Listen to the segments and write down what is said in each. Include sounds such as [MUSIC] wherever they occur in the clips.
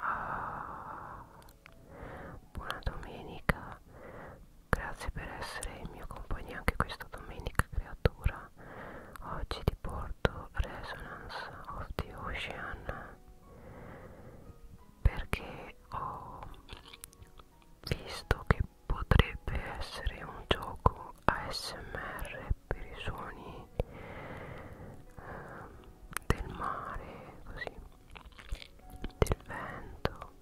Ah, buona domenica, grazie per essere in mia compagnia anche questa domenica creatura. Oggi ti porto Resonance of the Ocean perché ho visto che potrebbe essere un gioco ASMR per i suoni eh, del mare, così, del vento.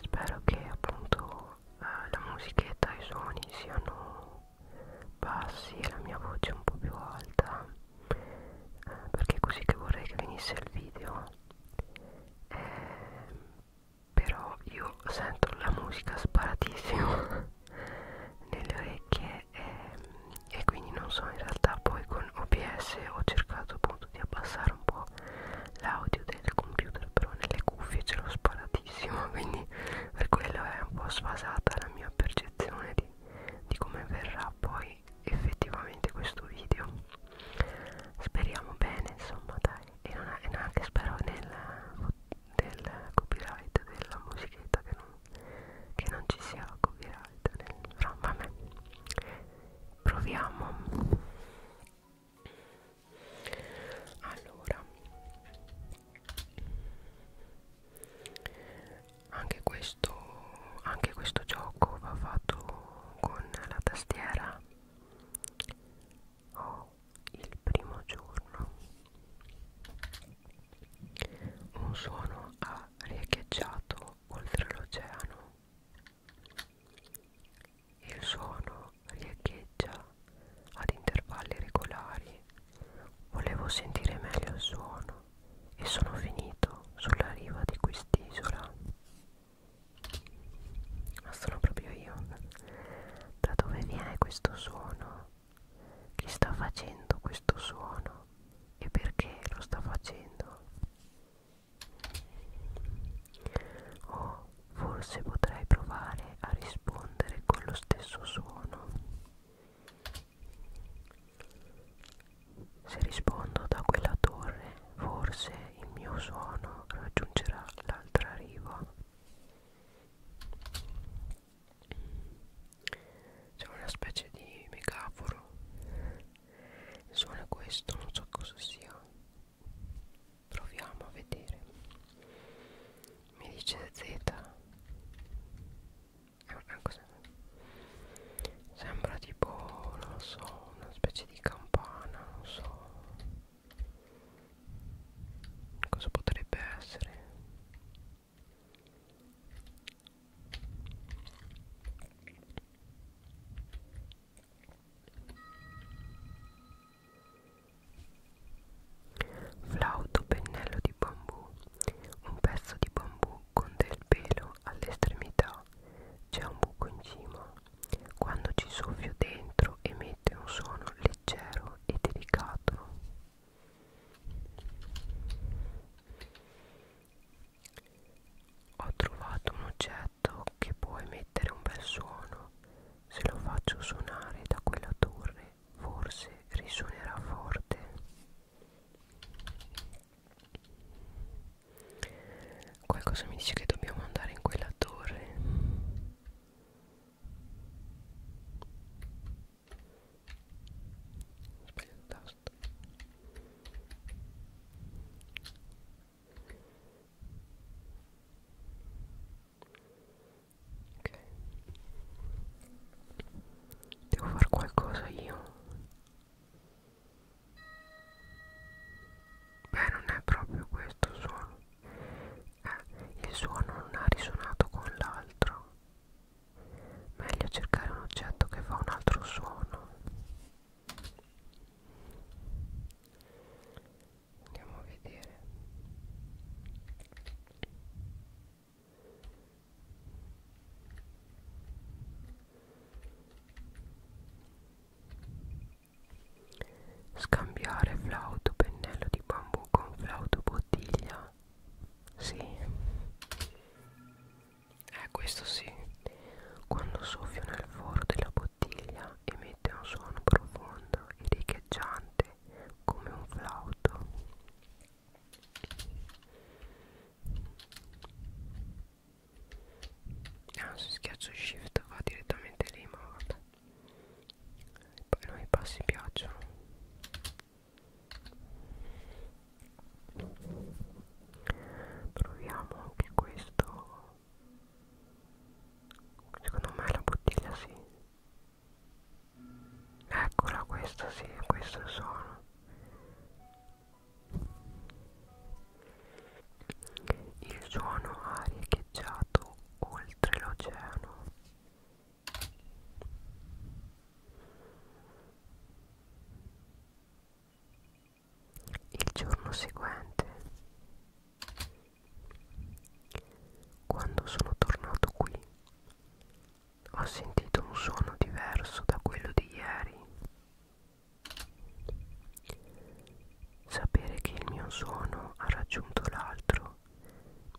Spero che appunto eh, la musichetta e i suoni siano bassi e la mia voce un po' più alta, eh, perché è così che vorrei che venisse il video. Eh, però io sento la musica sparatissima [LAUGHS] nelle orecchie e, ehm, e, e quindi non so in realtà poi con OBS ho cercato appunto di abbassare un po' l'audio del computer però nelle cuffie ce l'ho sparatissimo [LAUGHS] quindi per quello è un po' sfasata la mia percezione di, di come verrà poi effettivamente questo video speriamo bene insomma dai e non, e non anche spero nel, nel copyright della musichetta che non che non ci sia la copyright nel no, vabbè proviamo allora anche questo anche questo gioco va fatto con la tastiera ho oh, il primo giorno un suono ha riecheggiato oltre l'oceano. Il suono riecheggia ad intervalli regolari. Volevo sentire meglio il suono e sono finito sulla riva di quest'isola. Ma sono proprio io. Da dove viene questo suono? chi sta facendo questo suono e perché lo sta facendo o forse potrei provare a rispondere con lo stesso suono se rispondo da quella torre forse il mio suono raggiungerà l'altra riva c'è una specie di megaforo il suono è questo non so cosa sia proviamo a vedere mi dice Z è ah, una ah, cosa sembra tipo non lo so una specie di campana non so cosa potrebbe essere Flauto pennello di bambù. Un pezzo di bambù con del pelo all'estremità. C'è un buco in cima. Quando ci soffio dentro emette un suono leggero e delicato ho trovato un oggetto che può emettere un bel suono se lo faccio suonare da quella torre forse risuonerà forte qualcosa mi dice che dobbiamo andare in quella torre ho sbagliato tasto. Ok. Devo fare qualcosa io. Beh, non è proprio questo il suono. Eh, il suono non ha risuonato con l'altro meglio cercare un oggetto che fa un altro suono andiamo a vedere Scambiare flauto pennello di bambù con flauto bottiglia sì. Eh, questo sì. Quando soffio nel foro della bottiglia emette un suono profondo e riecheggiante come un flauto. Ah, se schiaccio shift va direttamente lì, ma vabbè. Poi non i passi piacciono proviamo anche questo secondo me la bottiglia sì eccola questa sì questo sono il suono ha riecheggiato oltre l'oceano il giorno seguente, quando sono tornato qui, ho sentito un suono diverso da quello di ieri. Sapere che il mio suono ha raggiunto l'altro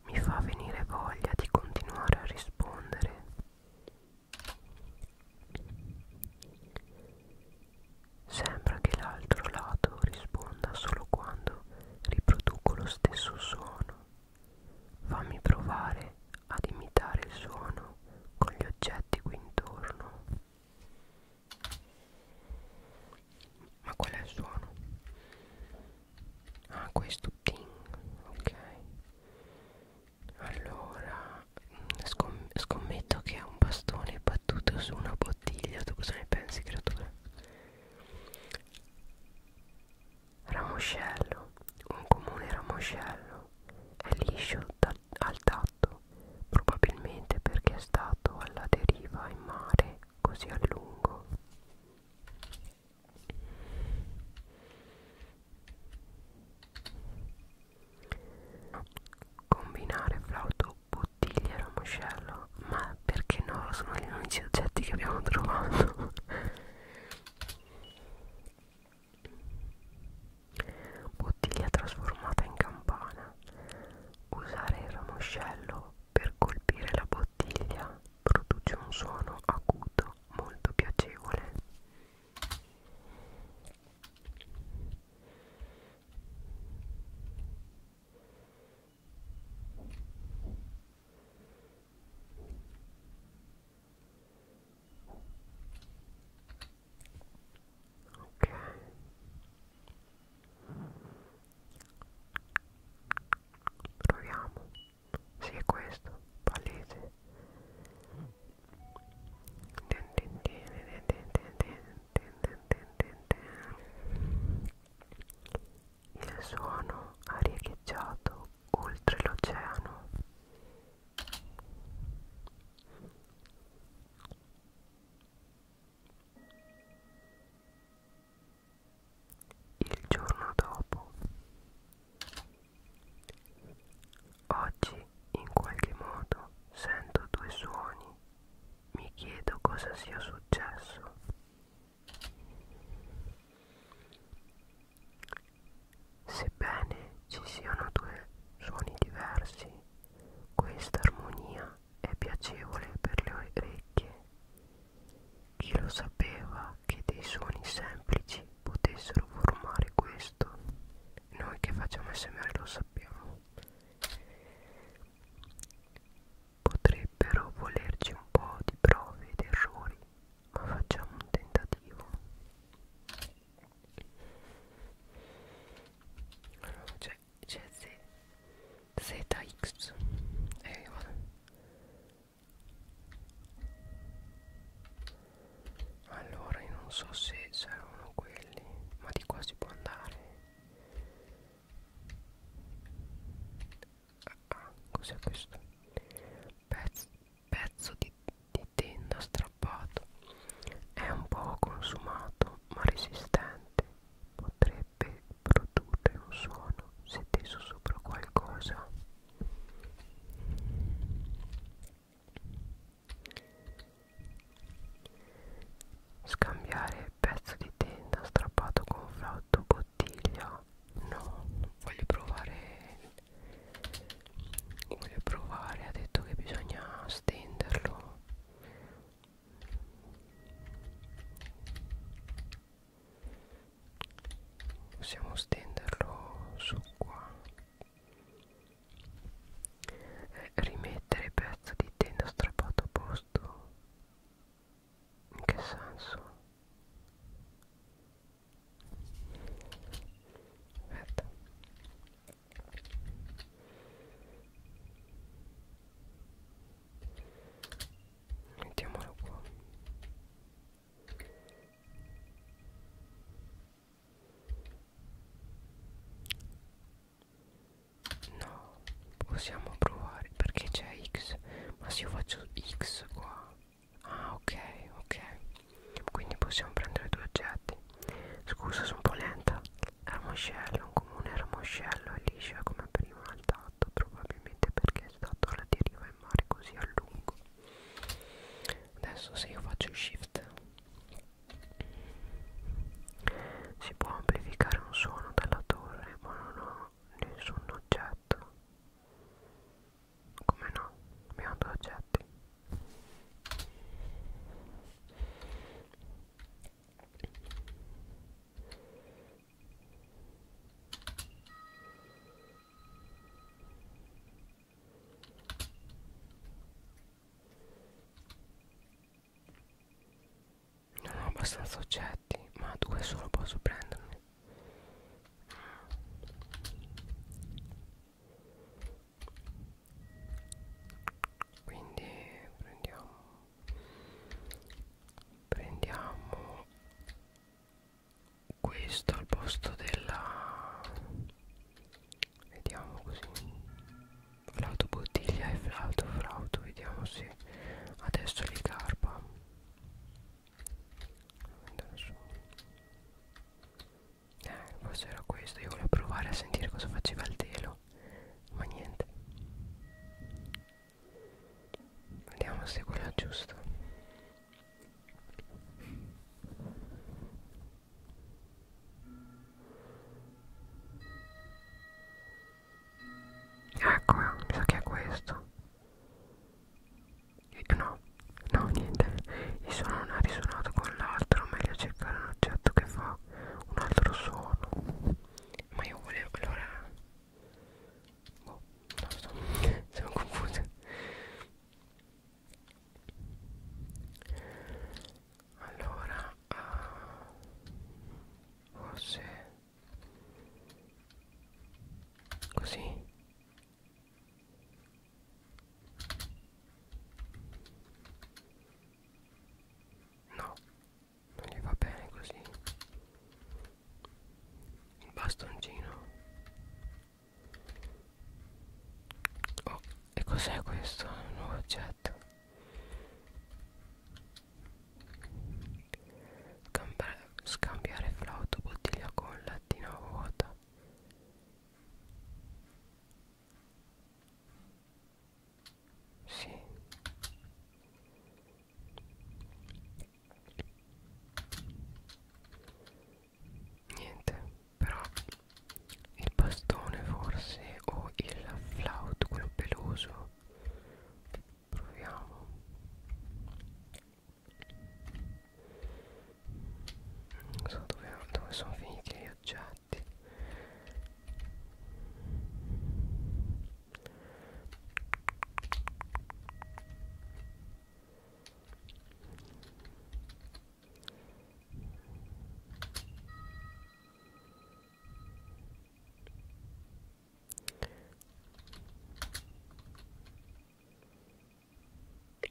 mi fa venire voglia di continuare a rispondere Sembra che l'altro lato risponda solo quando riproduco lo stesso suono. Fammi provare ad imitare il suono con gli oggetti qui intorno. Ma qual è il suono? ah questo ting ok allora mm, scom scommetto che è un bastone battuto su una bottiglia tu cosa ne pensi creatura ramoscello un comune ramoscello è liscio al tatto probabilmente perché è stato alla deriva in mare così a lungo Combinare flauto, bottiglia e ramoscello Ma perché no? Sono gli unici oggetti che abbiamo trovato Bottiglia trasformata in campana Usare il ramoscello per colpire la bottiglia produce un suono acuto molto piacevole ok proviamo sì, è questo, palese. Il suono ha riecheggiato oltre l'oceano. Il giorno dopo Oggi, in qualche modo, sento due suoni. Mi chiedo cosa sia successo. Sebbene ci siano due suoni diversi, questa armonia è piacevole per le orecchie chi lo sapeva che dei suoni semplici potessero formare questo? Noi che facciamo SMR lo sappiamo. Potrebbero volerci un po' di prove ed errori, ma facciamo un tentativo. Allora, c'è ZX. Eh, allora io non so se saranno quelli Ma di qua si può andare Ah, ah cos'è questo? Pezzo, pezzo di, di tenda strappato È un po' consumato ma resistente Potrebbe produrre un suono se teso sopra qualcosa Scambiare pezzo di tenda strappato con flauto bottiglia No, voglio provare Voglio provare, ha detto che bisogna stenderlo possiamo stenderlo su qua eh, rimettere pezzo di tenda strappato a posto in che senso? aspetta mettiamolo qua No, possiamo provare perché c'è X, ma se io faccio X qua. Ah, ok, ok. Quindi possiamo prendere due oggetti. Scusa, sono un po' lenta. Ramoscello, un comune ramoscello è liscia come prima al tatto, probabilmente perché è stato alla deriva in mare così a lungo adesso se io faccio il shift si può amplificare un suono dalla torre ma non ho nessun oggetto come no abbiamo due oggetti non ho abbastanza oggetti, ma due solo posso prendermi. Quindi prendiamo prendiamo questo al posto della vediamo così flauto bottiglia e flauto flauto vediamo se adesso li carpa non eh forse era questo io volevo provare a sentire cosa faceva il telo ma niente vediamo se è quella giusta Ecco, mi sa che è questo. Eh, no, no, niente. Il suono non ha risuonato con l'altro. Meglio cercare un oggetto che fa un altro suono. Ma io volevo allora. Boh, non lo so. Sono [LAUGHS] confusa allora uh, forse così no non gli va bene così il bastoncino Oh, e cos'è questo? Un nuovo oggetto Scambiare, scambiare flauto bottiglia con lattina vuota sì niente però il bastone forse o il flauto quello peloso proviamo non so dove, dove sono finiti gli oggetti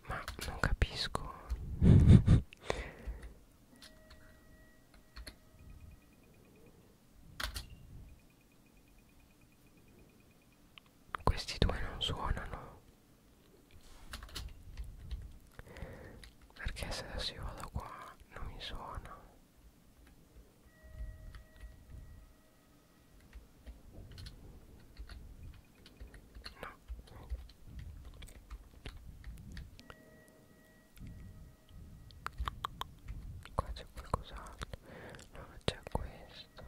ma non capisco questi due non suonano perché se adesso io vado qua non mi suona no qua c'è qualcos'altro no c'è questo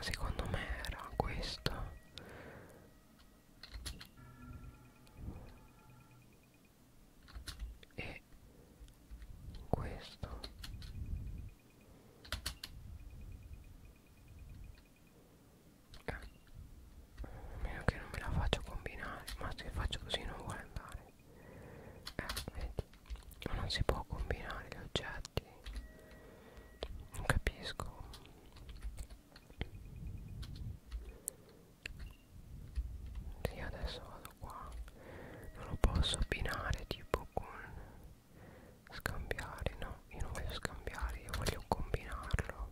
Secondo me era questo e questo eh, a meno che non me la faccio combinare ma se faccio così non vuole andare eh vedi ma non si può combinare gli oggetti non capisco sì adesso vado qua non lo posso abbinare tipo con scambiare no io non voglio scambiare io voglio combinarlo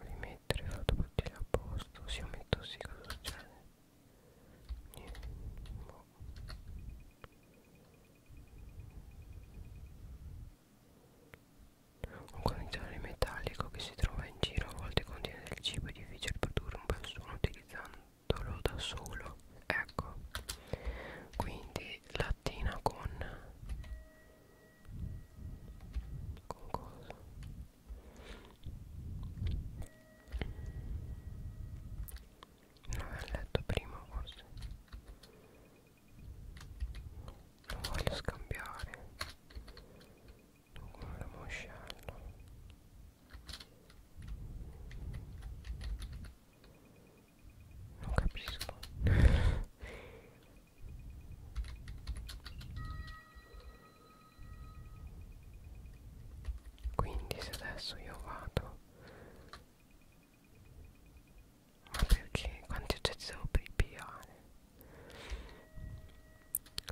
rimettere fatto bottiglia a posto se io metto sì cosa succede niente boh. un condizionatore metallico che si trova in giro a volte contiene del cibo è difficile produrre un bel suono utilizzando fattolo da solo ecco quindi lattina con con cosa non l'ho letto prima forse non voglio scambiare con la moscella non capisco Quindi se adesso io vado Ma perché? Quanti oggetti devo pigliare?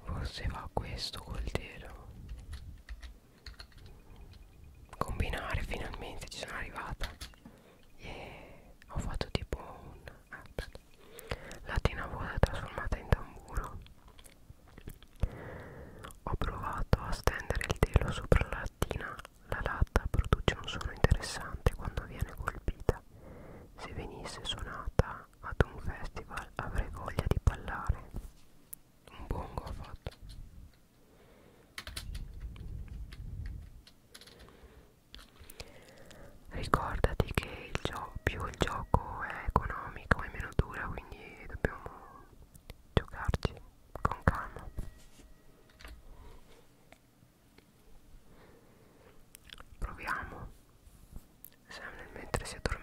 Forse va questo col telo combinare finalmente ci sono arrivata e yeah. ho fatto tipo un aspetta latina vuota trasformata in tamburo ho provato a stendere il telo sopra la lattina la latta produce un suono interessante quando viene colpita se venisse suonata ad un festival avrei voglia di ballare un bongo ha fatto ricordati che il più il gioco è economico e meno dura quindi dobbiamo giocarci con calma proviamo Sam mentre si addormentava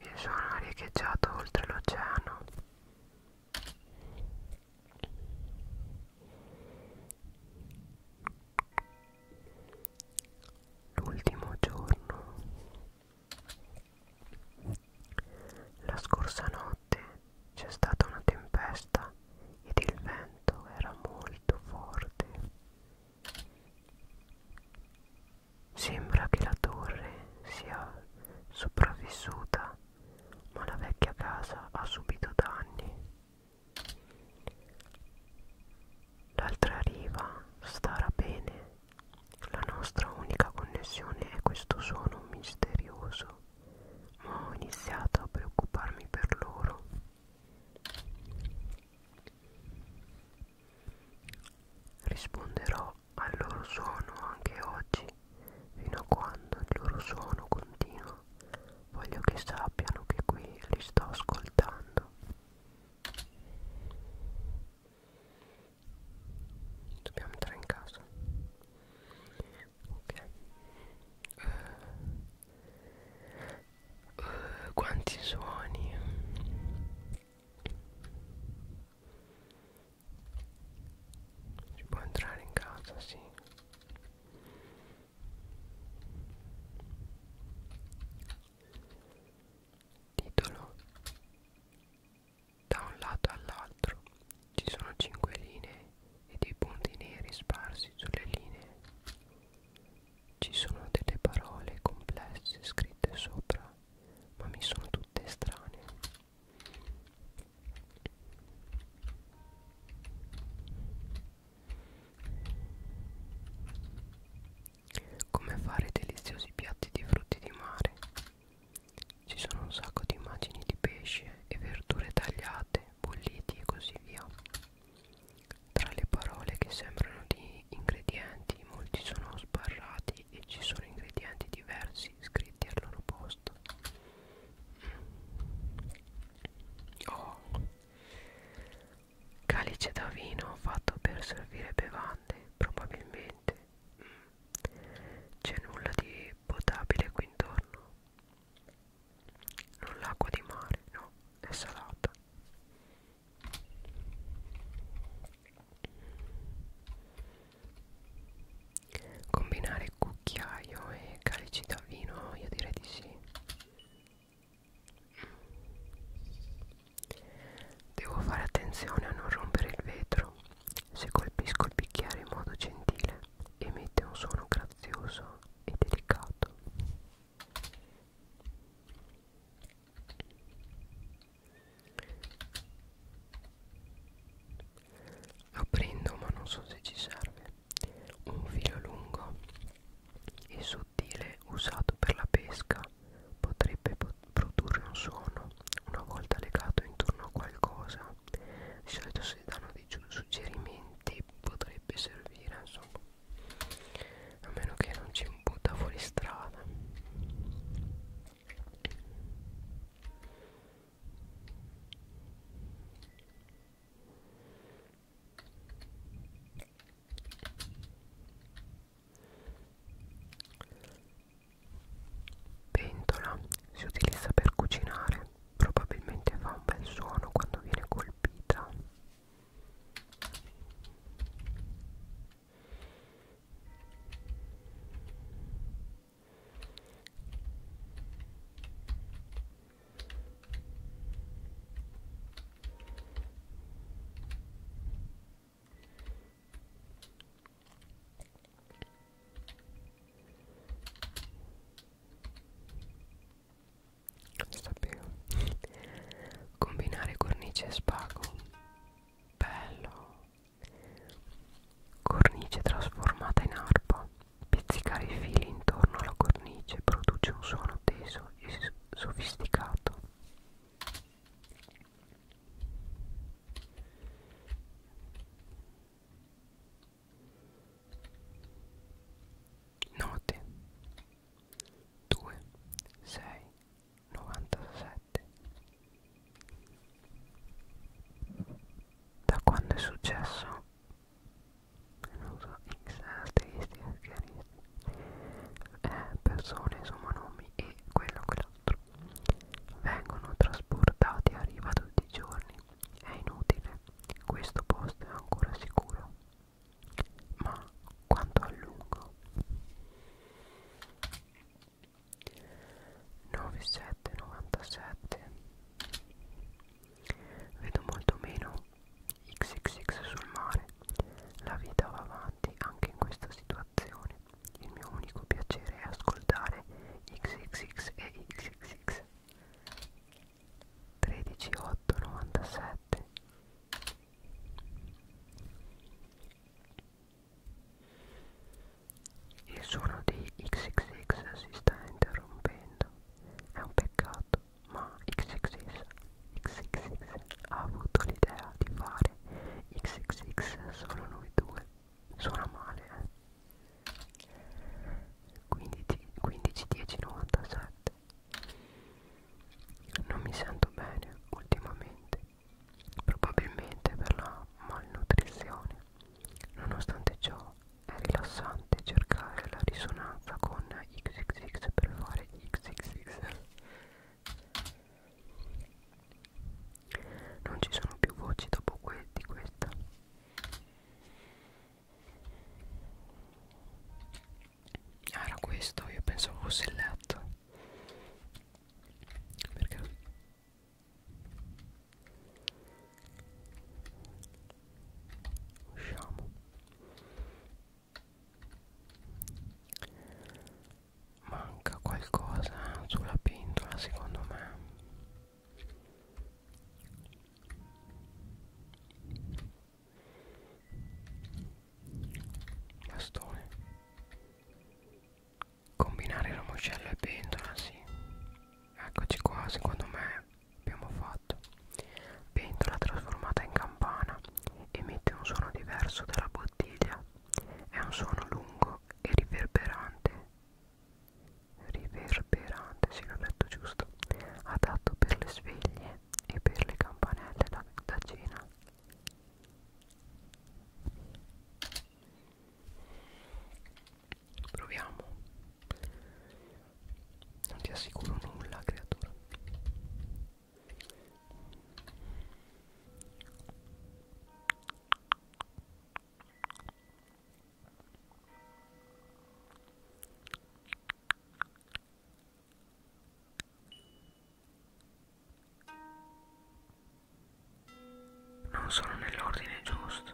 Il suono ha riecheggiato oltre l'oceano. L'ultimo giorno. La scorsa notte c'è stata una tempesta ed il vento era molto forte. Sembra che la torre sia sopravvissuta, ma la vecchia casa ha subito danni. L'altra riva starà bene. La nostra unica connessione è questo suono misterioso, ma ho iniziato a preoccuparmi per loro. Risponderò al loro suono anche oggi, fino a quando il loro suono continua. Voglio che sappiano che qui li sto ascoltando. Dobbiamo entrare in casa. Ok. Uh, uh, quanti suoni si può entrare in casa, sì. Titolo Da un lato all'altro ci sono cinque linee e dei punti neri sparsi sulle linee. Ci sono delle parole complesse scritte sopra ma mi sono tutte strane come fare deliziosi piatti di frutti di mare ci sono un sacco di immagini di pesce e verdure tagliate bolliti e così via tra le parole che sembrano di ingredienti molti sono sbarrati uguali e ci sono ingredienti diversi scritti al loro posto oh. calice da vino fatto per servire bevande probabilmente mm. c'è nulla di potabile qui intorno non l'acqua di mare no è salata Combinare cucchiaio e calici da vino, io direi di sì. Devo fare attenzione a non rompere il vetro. Se colpisco il bicchiere in modo gentile, emette un suono grazioso e delicato aprendo ma non so se ci serve un filo lungo e sottile usato per la pesca potrebbe produrre un suono una volta legato intorno a qualcosa di solito se danno dei suggerimenti potrebbe servire insomma a meno che non ci butta fuori strada pentola si utilizza per cucinare probabilmente fa un bel suono quando viene colpita lo sapevo. Combinare cornice e spago bello cornice trasformata in arpa pezzicare i fili intorno alla cornice produce un suono teso e sofisticato Note 2, 6, 97 da quando è successo non so x asteristi asteristi eh, persone insomma nomi e quello quell'altro vengono trasportati a riva tutti i giorni è inutile questo posto è ancora sicuro ma quanto a lungo 9797 vedo molto meno xxx sul mare la vita va avanti anche in questa situazione il mio unico piacere è ascoltare xxx e xxx 13897 il suono di XXX si sta interrompendo. È un peccato, ma XXX, XXX ha avuto l'idea di fare XXX solo noi due. Suona male, eh? 15, 15 10 97 non mi sento bene ultimamente probabilmente per la malnutrizione. Nonostante ciò è rilassante cercare la risonanza con XXX per fare XXX. Non ci sono più voci dopo que di questa. Ah, era questo, io pensavo fosse il letto. Perché? Usciamo. Manca qualcosa sulla pentola secondo me. Bastone combinare l'uccello e pentola sì eccoci qua secondo me abbiamo fatto pentola trasformata in campana emette un suono diverso dalla bottiglia è un suono lungo e riverberante riverberante sì l'ho detto giusto adatto per le sveglie e per le campanelle da, da cena Proviamo. Non ti assicuro nulla, creatura. Non sono nell'ordine giusto,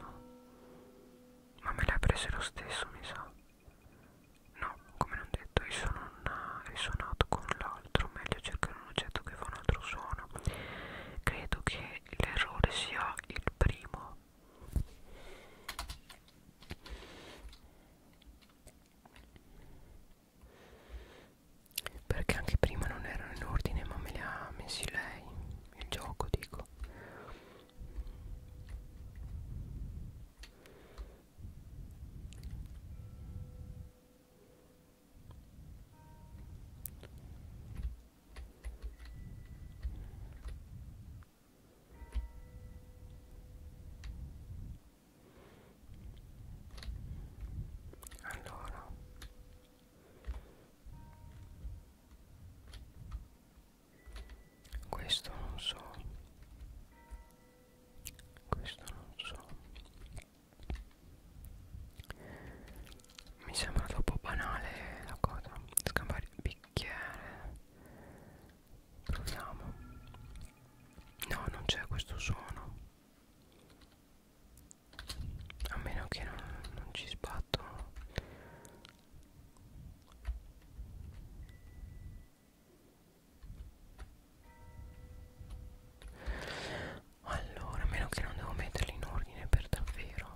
ma me l'ha presa lo stesso, mi sa. No, come non detto, io sono una, risuonato con l'altro, meglio cercare un oggetto che fa un altro suono. Credo che l'errore sia il primo perché anche prima non erano in ordine ma me li ha messi lei il gioco dico allora questo non so questo non so mi sembra troppo banale la cosa scambiare il bicchiere proviamo no non c'è questo suono a meno che non, non ci sbatto allora a meno che non devo metterli in ordine per davvero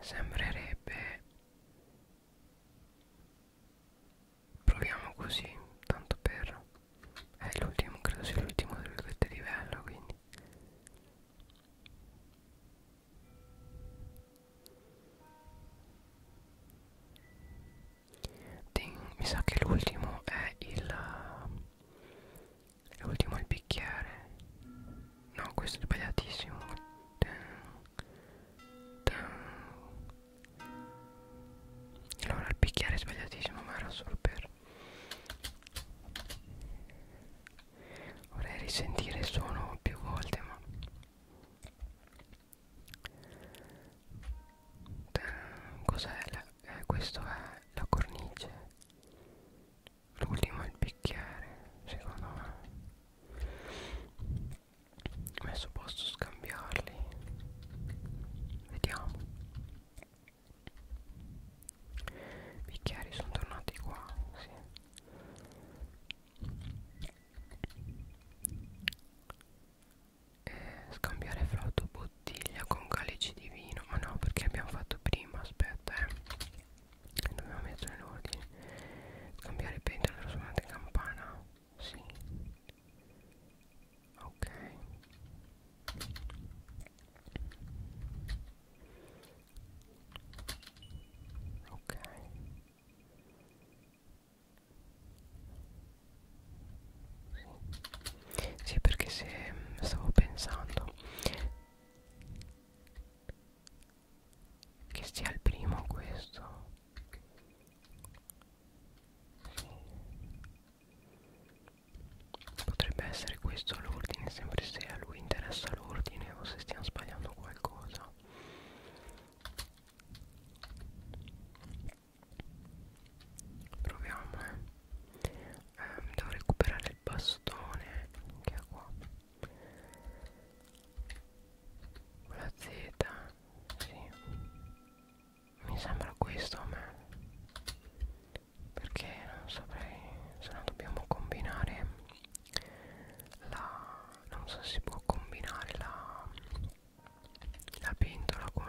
Sembrerebbe Proviamo così Tanto per È l'ultimo Credo sia l'ultimo di questo livello Quindi Ding. mi sa che l'ultimo è il l'ultimo è il bicchiere no questo è sbagliatissimo Ding. Ding. allora il bicchiere è sbagliatissimo ma era solo per vorrei risentire il suono più volte ma eh, cos'è? Eh, questo è la cornice. L'ultimo è il bicchiere, secondo me. Adesso posso scambiarli. Vediamo. I bicchieri sono tornati qua, sì eh, scambiare flauto bottiglia con calici di vino ma no perché abbiamo fatto prima aspetta eh dobbiamo mettere in ordine scambiare pentola per suonate campana sì ok ok sì, sì perché se stavo pensando che sia il primo questo sì. potrebbe essere questo l'ordine sempre se a lui interessa l'ordine o se stiamo sbagliando qualcosa proviamo eh. Eh, devo recuperare il bastone che è qua la z sì. mi sembra questo a me perché non saprei se no dobbiamo combinare la non so se si può combinare la la pentola con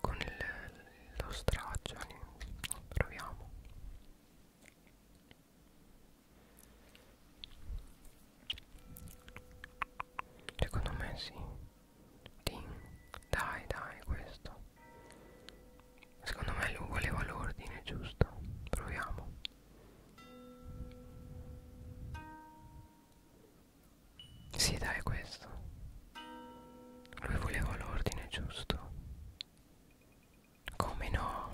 con il, lo straccio lì eh. proviamo secondo me sì Ding. dai dai questo secondo me lui voleva l'ordine giusto proviamo sì, dai, questo. Lui voleva l'ordine giusto. Come no?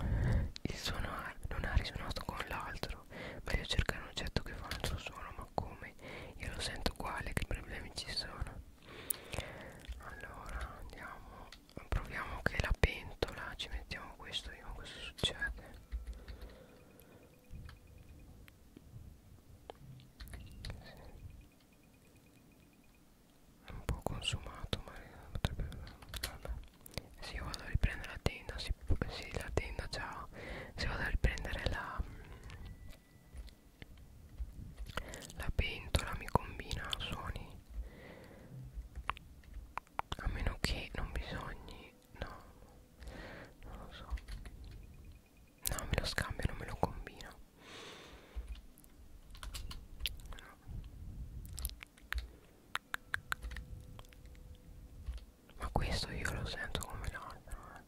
Il suono non ha risuonato con l'altro. Meglio cercare un oggetto che fa un altro suono, ma come? Io lo sento uguale, che problemi ci sono? Allora, andiamo. Proviamo che la pentola, ci mettiamo questo, vediamo cosa succede. È un po' consumato, ma potrebbe... Vabbè. Se io vado a riprendere la tenda, si, sì, la tenda già... Se vado a riprendere la... Mm, la pentola mi combina suoni. A meno che non bisogni no non lo so no me lo scambio non me lo combino no. ma questo io lo sento come l'altro eh.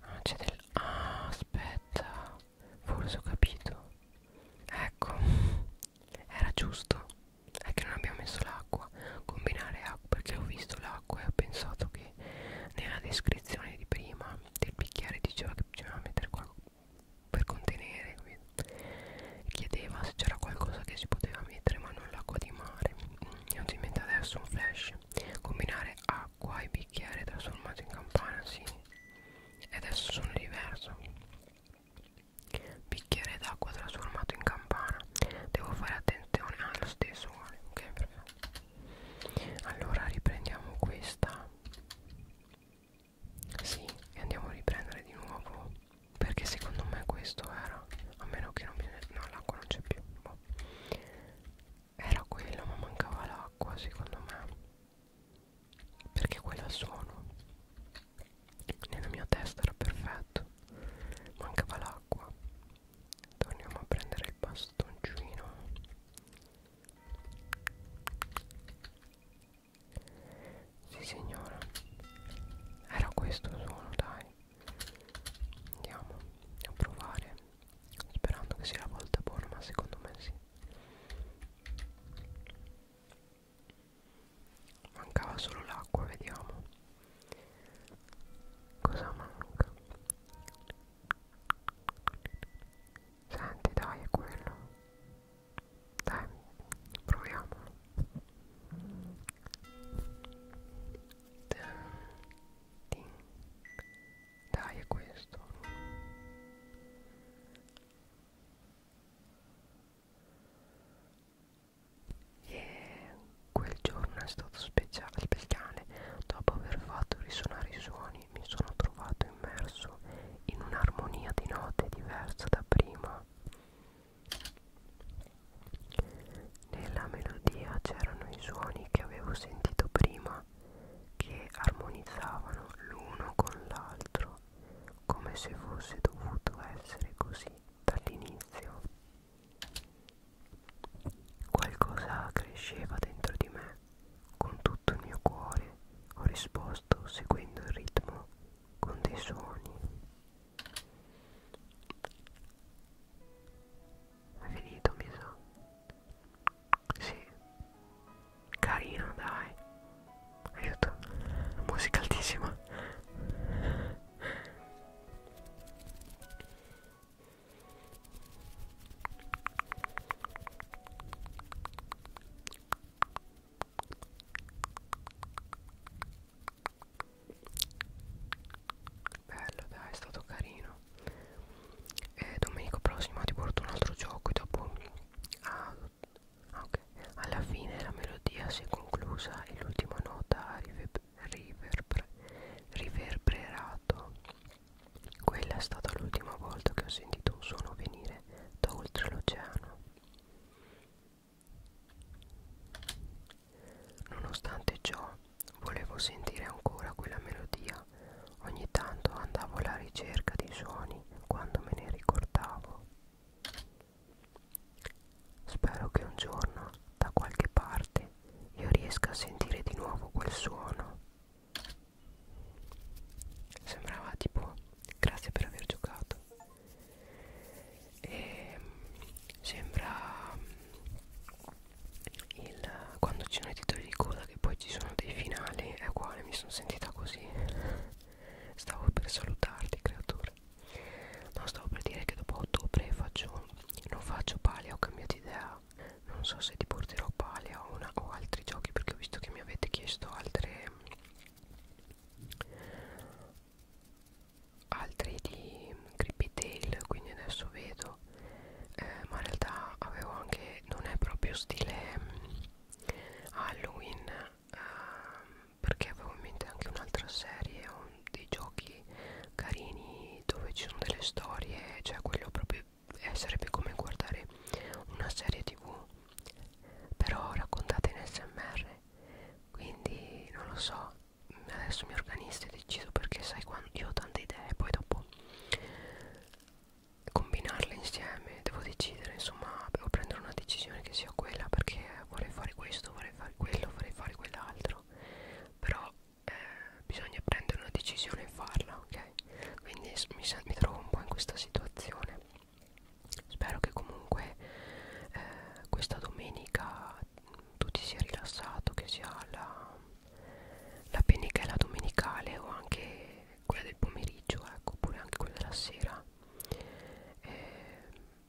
ah c'è del ah aspetta forse ho capito ecco era giusto è che non abbiamo messo l'acqua combinare acqua perché ho visto l'acqua e ho pensato che nella descrizione di prima del bicchiere diceva che bisognava mettere qualcosa per contenere chiedeva se c'era qualcosa che si poteva mettere ma non l'acqua di mare e ho inventato adesso un flash combinare acqua e bicchiere trasformato in campana sì e adesso sono diverso Bicchiere d'acqua trasformato in campana. Devo fare attenzione allo ah, stesso. Ok, perfetto. Allora riprendiamo questa. Sì, e andiamo a riprendere di nuovo. Perché secondo me questo era. A meno che non bisogna. No, l'acqua non c'è più. Boh. Era quello, ma mancava l'acqua secondo me. Perché quella sono nella mia testa era perfetto mancava l'acqua torniamo a prendere il bastoncino sì signora era questo suono dai andiamo a provare sperando che sia la volta buona ma secondo me sì Mancava solo l'acqua, vediamo. Cosa manca? Senti, dai, è quello. Dai, proviamolo. Dai, è questo e quel giorno è stato speciale perché dopo aver fatto risuonare i suoni mi sono trovato immerso in un'armonia di note diversa da prima nella melodia c'erano i suoni che avevo sentito prima che armonizzavano l'uno con l'altro come se fosse dovuto essere così dall'inizio. Qualcosa cresceva dentro di me, con tutto il mio cuore ho risposto seguendo il ritmo con dei suoni. È finito, mi sa. Sì. Carino, dai aiuto musica altissima bello dai è stato carino e domenico prossimo ti porto un altro gioco e dopo a ah, okay. alla fine la melodia si è conclusa e l'ultima nota ha river riverber riverberato quella è stata l'ultima volta che ho sentito un suono venire da oltre l'oceano nonostante ciò volevo sentire ancora quella melodia ogni tanto andavo alla ricerca di suoni quando me ne ricordavo Spero che un giorno, da qualche parte, io riesca a sentire di nuovo quel suono. Sembrava tipo grazie per aver giocato. E ehm, sembra il, quando ci sono i titoli di coda che poi ci sono dei finali, è uguale, mi sono sentita così. Stavo per salutarti, creatura. No, stavo per dire che dopo ottobre faccio, non faccio palea, ho cambiato idea. Non so se ti porterò palea o, una, o altri giochi perché ho visto che mi avete chiesto altre altri di Creepy Tail, quindi adesso vedo. Eh, ma in realtà avevo anche non è proprio stile mm, Halloween ehm, perché avevo in mente anche un'altra serie un, dei giochi carini dove ci sono delle storie cioè quello proprio eh, sarebbe come guardare una serie tv però raccontate in smr quindi non lo so adesso mi organizzo e decido perché sai quando io ho tante idee poi dopo combinarle insieme devo decidere insomma devo prendere una decisione che sia quella perché vorrei fare questo, vorrei fare quello, vorrei fare quell'altro, però eh, bisogna prendere una decisione e farla, ok? Quindi mi, mi trovo un po' in questa situazione. Spero che comunque eh, questa domenica tu ti sia rilassato, che sia la, la pennichella domenicale o anche quella del pomeriggio, ecco, oppure anche quella della sera. Eh,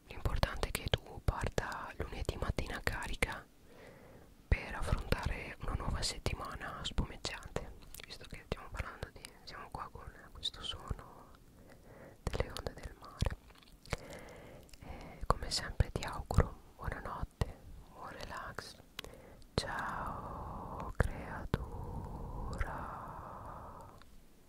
l'importante è che tu parta lunedì mattina carica per affrontare una nuova settimana spumeggiante visto che stiamo parlando di siamo qua con questo suono delle onde del mare e come sempre ti auguro buonanotte buon relax ciao creatura